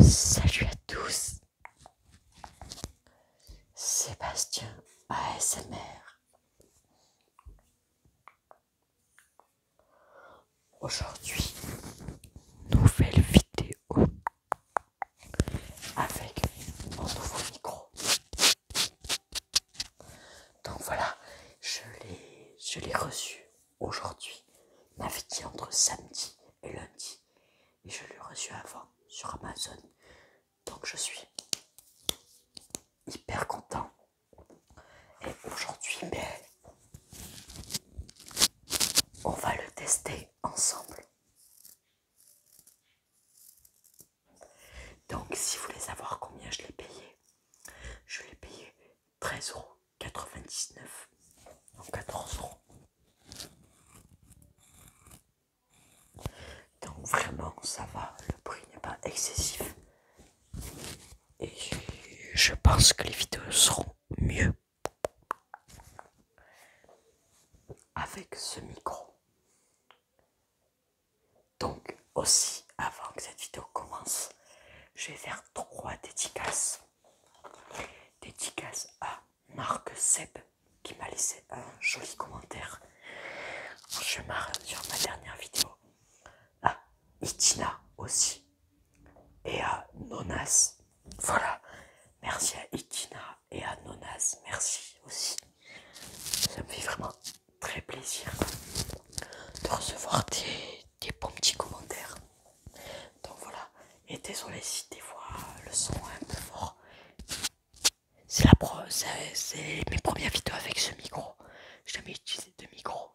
Salut à tous, Sébastien ASMR. Aujourd'hui, nouvelle vidéo avec mon nouveau micro. Donc voilà, je l'ai reçu aujourd'hui. Il entre samedi et lundi. Et je l'ai reçu avant sur Amazon. Donc je suis hyper content. Et aujourd'hui, ben, on va le tester ensemble. Donc si vous voulez savoir combien je l'ai payé, je l'ai payé 13,99€ en 14 Donc vraiment ça va, le prix n'est pas excessif. Et je pense que les vidéos seront mieux avec ce micro. Donc aussi, avant que cette vidéo commence, je vais faire trois dédicaces. dédicaces à Marc Seb qui m'a laissé un joli commentaire. Je marre sur ma dernière vidéo. À Itina aussi. Et à Nonas. Voilà. Merci à Itina et à Nonas. Merci aussi. Ça me fait vraiment très plaisir de recevoir tes bons petits commentaires. Donc voilà, et désolé si des fois le son est un peu fort. C'est la pro, mes premières vidéos avec ce micro. j'ai jamais utilisé de micro.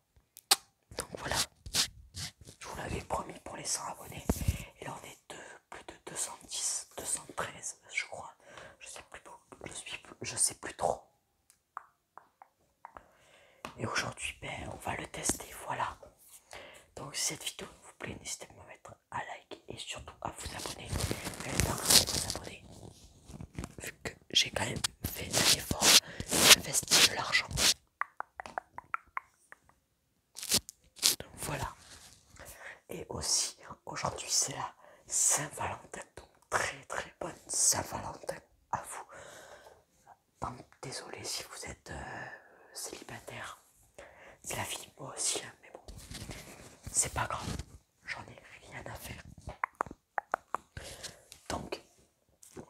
Donc voilà, je vous l'avais promis pour les 100 abonnés. Et là on est de plus de 210, 213 je crois. Je sais je suis, je sais plus trop. Et aujourd'hui, ben, on va le tester, voilà. Donc si cette vidéo vous plaît, n'hésitez pas à me mettre un like et surtout à vous abonner. vous abonner, vu que j'ai quand même fait un effort, investi de l'argent. Donc voilà. Et aussi, aujourd'hui c'est la Saint-Valentin très très bonne Saint-Valentin à vous. désolé si vous êtes euh, célibataire. C'est la vie, moi aussi, hein, mais bon, c'est pas grave. J'en ai rien à faire. Donc,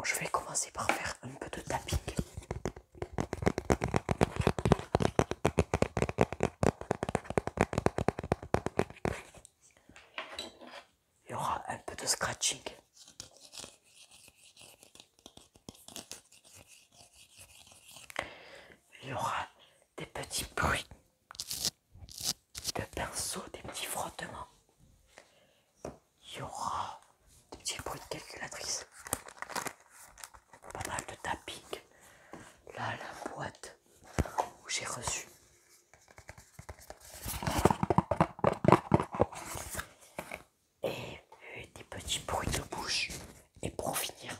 je vais commencer par faire un peu de tapping. Il y aura un peu de scratching. Il y aura des petits bruits de pinceaux, des petits frottements. Il y aura des petits bruits de calculatrice. Pas mal de tapping. Là, la boîte où j'ai reçu et euh, des petits bruits de bouche et pour finir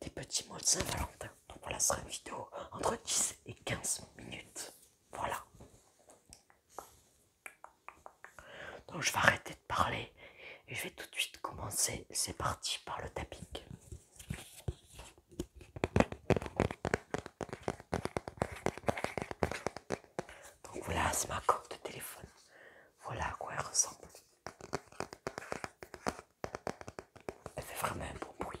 des petits mots de Saint-Valentin donc voilà ce sera une vidéo entre 10 et 15 minutes voilà donc je vais arrêter de parler et je vais tout de suite commencer c'est parti par le tapping donc voilà, c'est ma coque de téléphone. Voilà à quoi elle ressemble. Elle fait vraiment un beau bruit.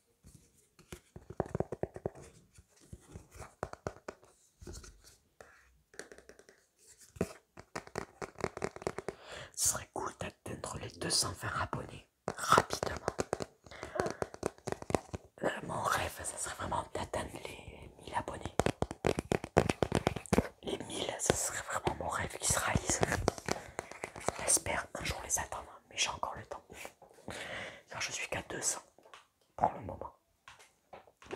Ce serait cool d'atteindre les 220 abonnés rapidement. Euh, mon rêve, ce serait vraiment d'atteindre les 1000 abonnés. Les 1000, ce serait vraiment mon rêve qui se réalise. J'espère un jour les atteindre, mais j'ai encore le temps. Car je suis qu'à 200 pour le moment.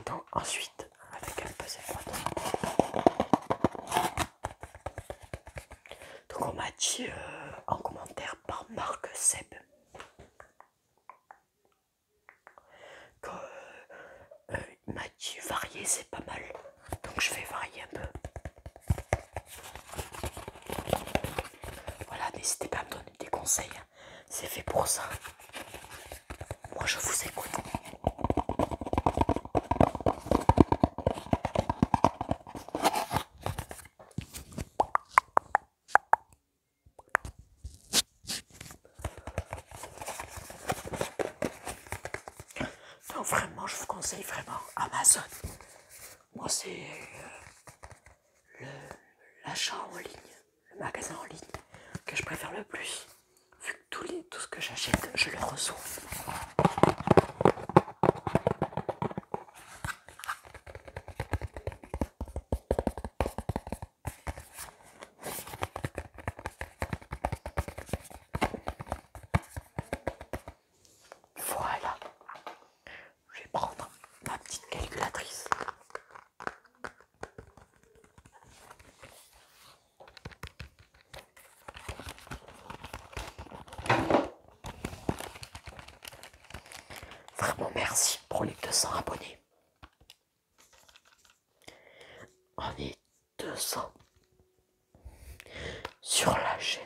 Donc, ensuite, avec un Donc on m'a dit euh, en commentaire par Marc Seb que euh, il m'a dit varier c'est pas mal. Donc je vais varier un peu. Voilà, n'hésitez pas à me donner des conseils. C'est fait pour ça. Moi, je vous écoute. Non, vraiment, je vous conseille vraiment Amazon. Moi, c'est... Euh, l'achat en ligne, le magasin en ligne que je préfère le plus, vu que tout, les, tout ce que j'achète, je le reçois. Voilà, je vais prendre ma petite calculatrice. Vraiment merci pour les 200 abonnés. On est 200 sur la chaîne.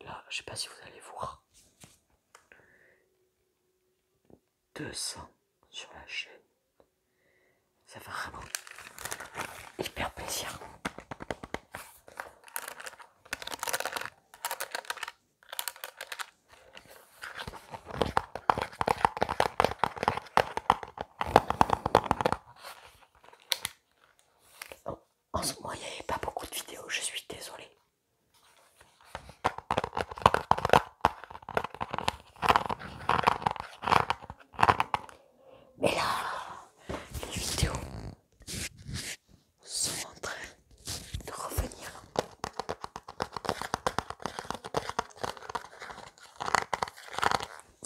Là, je sais pas si vous allez voir. 200 sur la chaîne. Ça va vraiment hyper plaisir en ce moment, il n'y avait pas beaucoup de vidéos, je suis désolée. Mais là, les vidéos sont en train de revenir.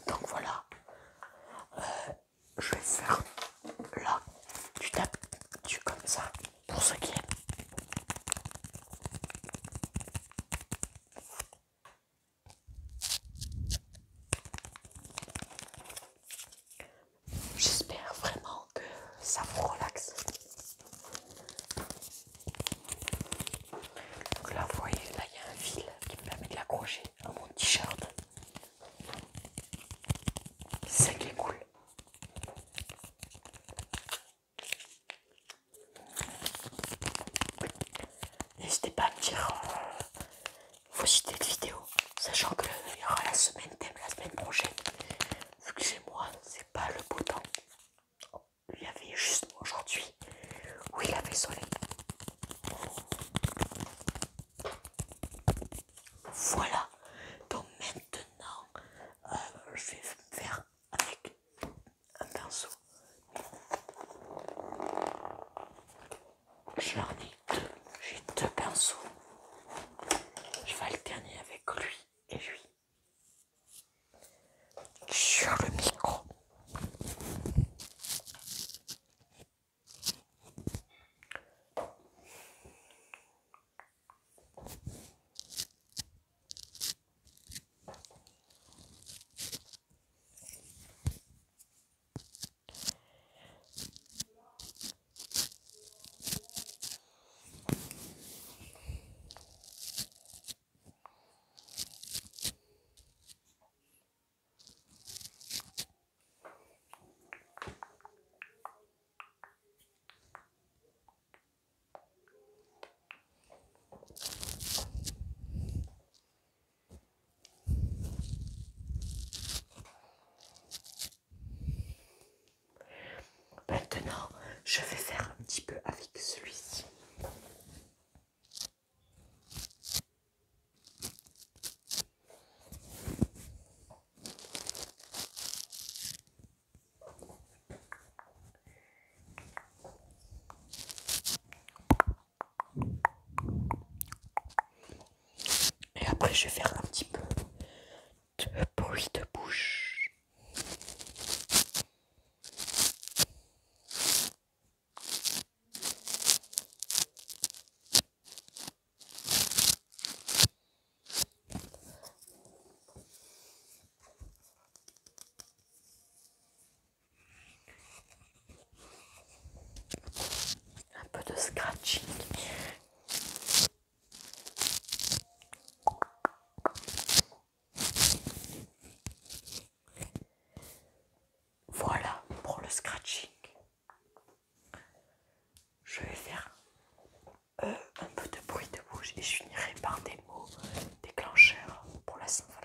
Donc voilà, euh, je vais faire là, tu tapes tu comme ça, pour ce qui est, J'espère vraiment que ça vous relaxe. Donc là, vous voyez, là, il y a un fil qui me permet de l'accrocher à mon t-shirt. C'est qui est cool. N'hésitez pas à me dire euh, vos idées de vidéos, sachant qu'il euh, y aura la semaine thème la semaine prochaine. Vu que c'est moi, c'est pas le beau temps. Il y avait juste aujourd'hui où il avait soleil. Voilà, donc maintenant euh, je vais faire avec un pinceau. J'en ai deux, j'ai deux pinceaux. Je vais alterner avec lui et lui. チュルミコ Maintenant, je vais faire un petit peu avec celui-ci. Et après, je vais faire un petit peu de bruit de bouche. Un peu de scratching. Voilà pour le scratching. Je vais faire euh, un peu de bruit de bouche et je finirai par des mots déclencheurs pour la Saint-Valentin.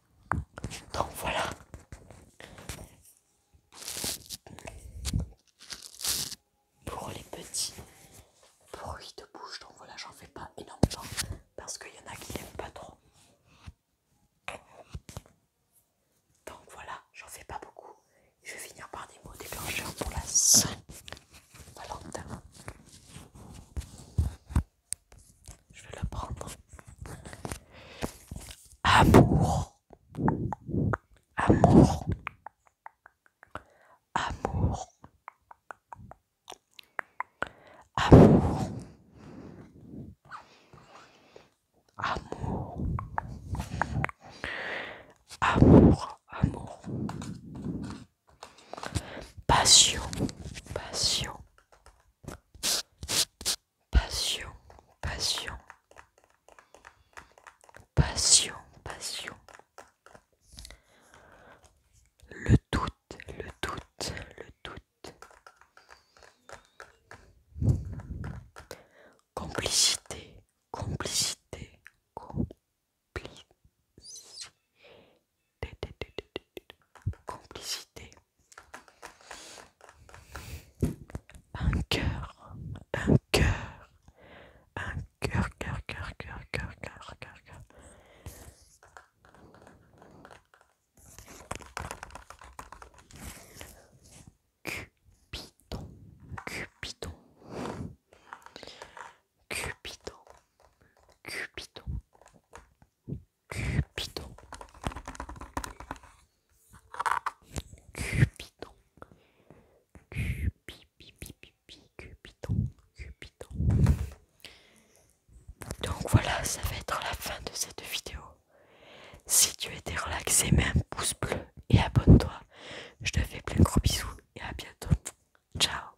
Donc voilà. Pour les petits bruits de bouche, donc voilà, j'en fais pas énormément parce qu'il y en a qui n'aiment pas trop. Donc voilà, j'en fais pas beaucoup. Je vais finir par des mots déclencheurs pour la Saint-Valentin. Je vais prendre. Amour. Amour. Amour. Amour. Amour. Amour. Amour. Passion. Passion. Passion, passion, passion, passion. Le doute, le doute, le doute. Complicité, complicité, complicité. Complicité. Un cœur, un cœur, un cœur, cœur, cœur, cœur, cœur, cœur, cœur, cœur. Cupidon, Cupidon, Cupidon, Cupidon. Cupidon. pi Cupidon. Cupidon. Donc voilà, ça va être la fin de cette vidéo. Si tu étais relaxé, mets un pouce bleu et abonne-toi. Je te fais plein de gros bisous et à bientôt. Ciao